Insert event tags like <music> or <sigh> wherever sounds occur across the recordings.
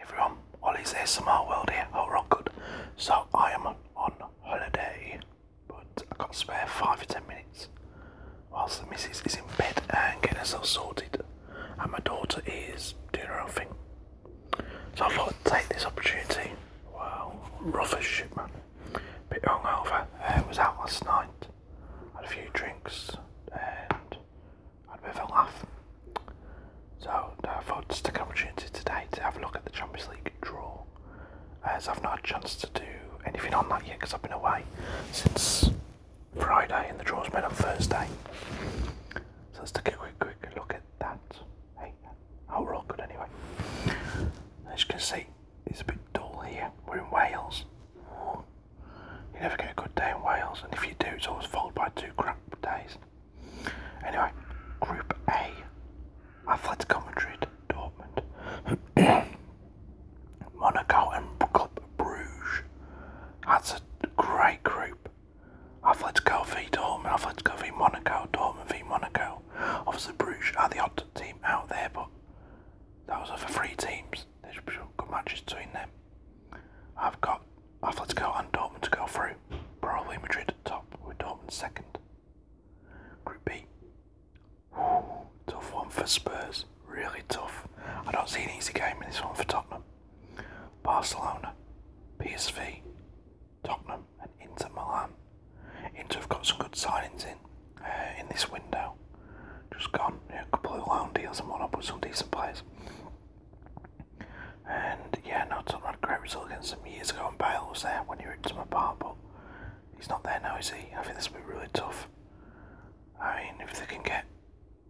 everyone, Ollie's ASMR World here. Hope oh, we good. So I am on holiday, but I got spare five or ten minutes whilst the missus is in bed and getting herself sorted, and my daughter is doing her own thing. So I thought I'd take this opportunity. Well, rough as shit, man. Bit hungover. I uh, was out last night. Had a few drinks and i with a laugh. So, I thought just take an opportunity today to have a look at the Champions League draw, as I've not had a chance to do anything on that yet because I've been away since Friday and the draw was made on Thursday. So let's take a quick, quick look at that. Hey, oh, we're all good anyway. As you can see, it's a bit dull here. We're in Wales. You never get a good day in Wales, and if you do, it's always followed by two crap days. Anyway, Group A Atletico Madrid, Dortmund, <clears throat> Monaco, and Club Bruges. That's a great group. Atletico v Dortmund, Atletico v Monaco, Dortmund v Monaco. Obviously, Bruges are the odd team out there, but those are for three teams. There There's some good matches between them. I've got go and Dortmund to go through. Probably Madrid top, with Dortmund second. Group B. tough one for Spurs. Really tough. I don't see an easy game in this one for Tottenham. Barcelona, PSV, Tottenham, and Inter Milan. Inter have got some good signings in uh, in this window. Just gone, yeah, a couple of loan deals and whatnot, but some decent players. And yeah, no, Tottenham had a great result against them years ago, and Bale was there when he ripped them apart, but he's not there now, is he? I think this will be really tough. I mean, if they can get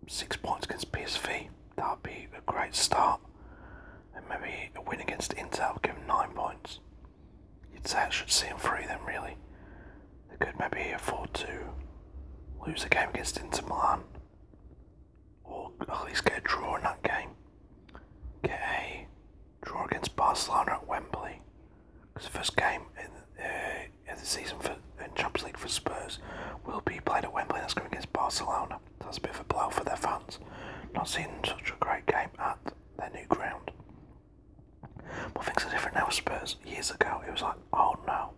six points against PSV, that will be a great start. And maybe a win against Inter would give them nine points. You'd say I should see them through then, really. They could maybe afford to lose a game against Inter Milan or at oh, least get a draw in that game. Get a draw against Barcelona at Wembley. Because the first game uh, in, the season for in Champions League for Spurs will be played at Wembley. That's going against Barcelona. That's a bit of a blow for their fans. Not seeing such a great game at their new ground. But things are different now. Spurs years ago, it was like, oh no,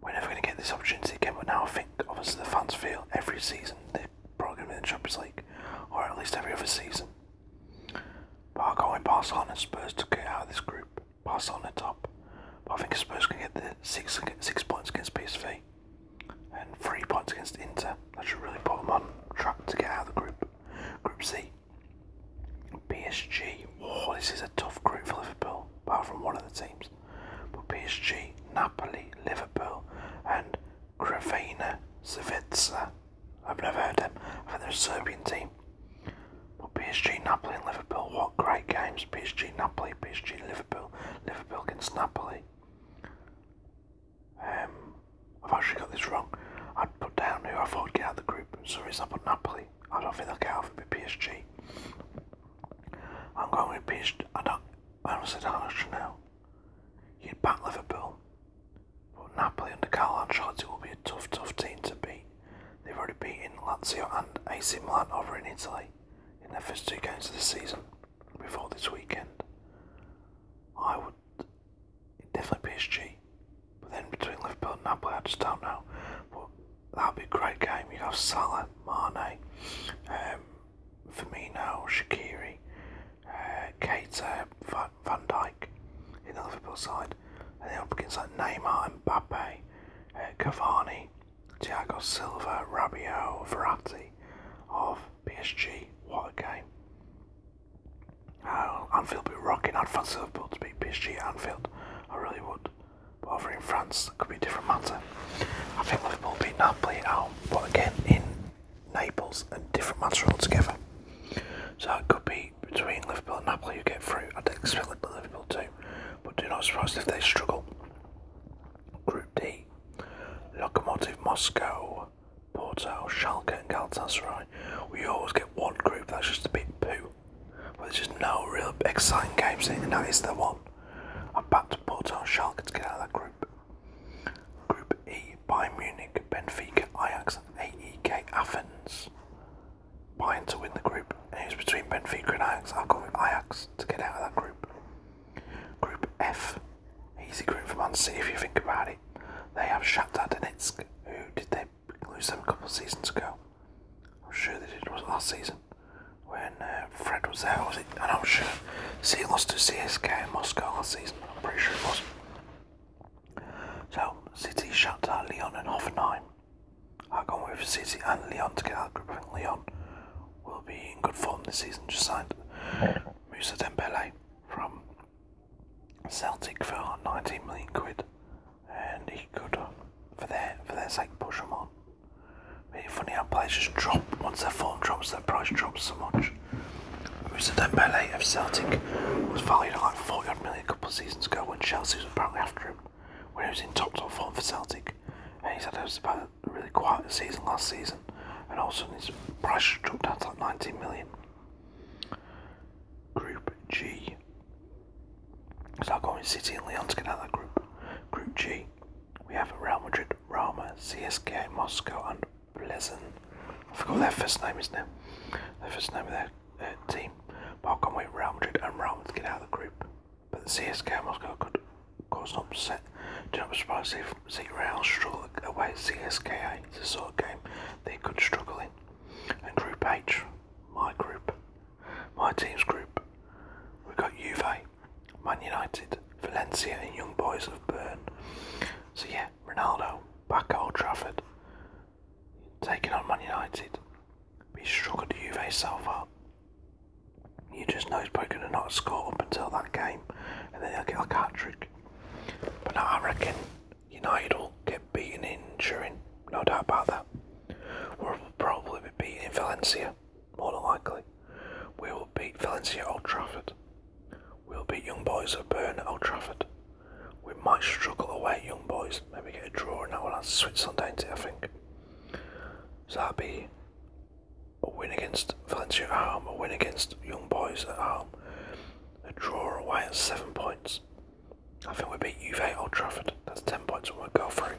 we're never going to get this opportunity again, but now I think obviously the fans feel every season they're probably going to be in the Champions League, or at least every other season. Barco and Barcelona and Spurs to get out of this group. Barcelona top, I think Spurs can get the six six points against PSV and three points against Inter. That should really put them on track to get out of the group. Group C. PSG. Oh, this is a tough group for Liverpool, apart from one of the teams but PSG, Napoli, Liverpool, and Crvena Zvezda. I've never heard them. I think Serbian team. But PSG, Napoli, and Liverpool, what great games! PSG, Napoli, PSG, Liverpool, Liverpool against Napoli. Um, I've actually got this wrong. I'd put down who I thought would get out of the group. Sorry, some reason I put Napoli. I don't think they'll get out of it. PSG. I'm going with Peach. I don't. I honestly don't actually know. You'd back Liverpool, but Napoli under Carlo Ancelotti will be a tough, tough team to beat. They've already beaten Lazio and AC Milan over in Italy in their first two games of the season before this weekend. I would definitely PSG, but then between Liverpool and Napoli, I just don't know. But that'll be a great game. you have Salah, Mane, um, Firmino, Shakiri, uh, Van, Van Dyke in the Liverpool side. And then up against like Neymar, Mbappe, uh, Cavani, Thiago Silva, Rabiot, Verratti of PSG. What a game. Uh, Anfield be rocking. I'd fancy Liverpool to be PSG at Anfield. I really would. But over in France, it could be a different matter. I think Liverpool beat Napoli at home, but again in Naples, a different matter altogether. So it could be between Liverpool and Napoli you get through. I'd expect Liverpool to, but do not surprise if they struggle. Group D: Lokomotiv Moscow, Porto, Schalke, and Galatasaray. We always get one group that's just a bit poo, but there's just no real exciting games in, and that is the one. I bet out Porto Schalke to get out of that group. Group E, by Munich, Benfica, Ajax, AEK Athens. Bayern to win the group, and it was between Benfica and Ajax. I'll go with Ajax to get out of that group. Group F, easy group for Man City if you think about it. They have Shakhtar Donetsk, who did they lose them a couple of seasons ago? I'm sure they did, it was last season when uh, Fred was there, was it? And I'm sure. he lost to CSK in Moscow last season, I'm pretty sure it was. So, City shut out Leon and Hoffenheim. I've gone with City and Leon to get out of group. I think Leon will be in good form this season. Just signed Musa Dembele from Celtic for 19 million quid, and he could, uh, for their for their sake, push them on. Really funny how players just drop once their form drops, their price drops so much. Musa Dembele of Celtic was valued at like 40 a couple of seasons ago when Chelsea was apparently after him, when he was in top top form for Celtic. And it was about a really quiet season last season, and all of a sudden his price dropped down to like 19 million. Group G. because I'll go in City and Leon to get out of that group. Group G. We have Real Madrid, Roma, CSKA, Moscow, and Pleasant. I forgot their first name, is now Their first name of their team. But I can't wait Real Madrid and Roma to get out of the group. But the CSKA Moscow could cause some upset. Do not be surprised if see Real struggle away CSKA. It's a sort of game they could struggle in. And Group H, my group, my team's group, we've got Juve, Man United, Valencia, and Young Boys of Bern. So yeah, Ronaldo back at Old Trafford, taking on Man United. he struggled at Juve so far. You just know he's probably going to not score up until that game, and then he'll get a hat trick. But now I reckon United will get beaten in Turin, no doubt about that. We'll probably be beaten in Valencia more than likely. We will beat Valencia at Old Trafford. We'll beat Young Boys at Burn at Old Trafford. We might struggle away at Young Boys, maybe get a draw and that one that's Switzerland, ain't it, I think. So that be a win against Valencia at home, a win against Young Boys at home, a draw away at seven points. I think we beat Juve at Old Trafford, that's ten points and we'll go through.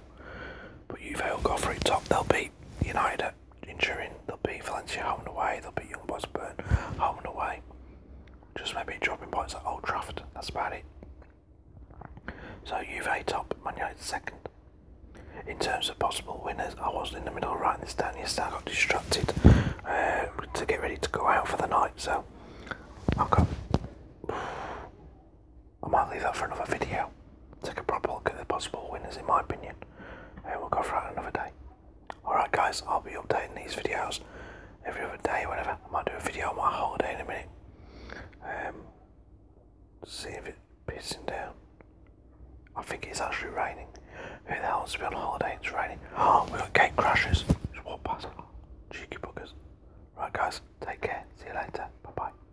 But Juve will go through top. They'll beat United in Turin. They'll beat Valencia home and away. They'll beat Young Boys Burn home and away. Just maybe dropping points at Old Trafford. That's about it. So Juve top, Man United second. In terms of possible winners, I was in the middle of writing this down yesterday. I got distracted um, to get ready to go out for the night. So I've got I might leave that for another video. Take a proper look at the possible winners in my opinion. And we'll go for that another day. Alright guys, I'll be updating these videos every other day or whatever. I might do a video on my holiday in a minute. Um, see if it pissing down. I think it's actually raining. Who the hell wants to be on holiday? and It's raining. Oh, <gasps> we got gate crashes. Just walk past. Cheeky buggers. Right, guys. Take care. See you later. Bye bye.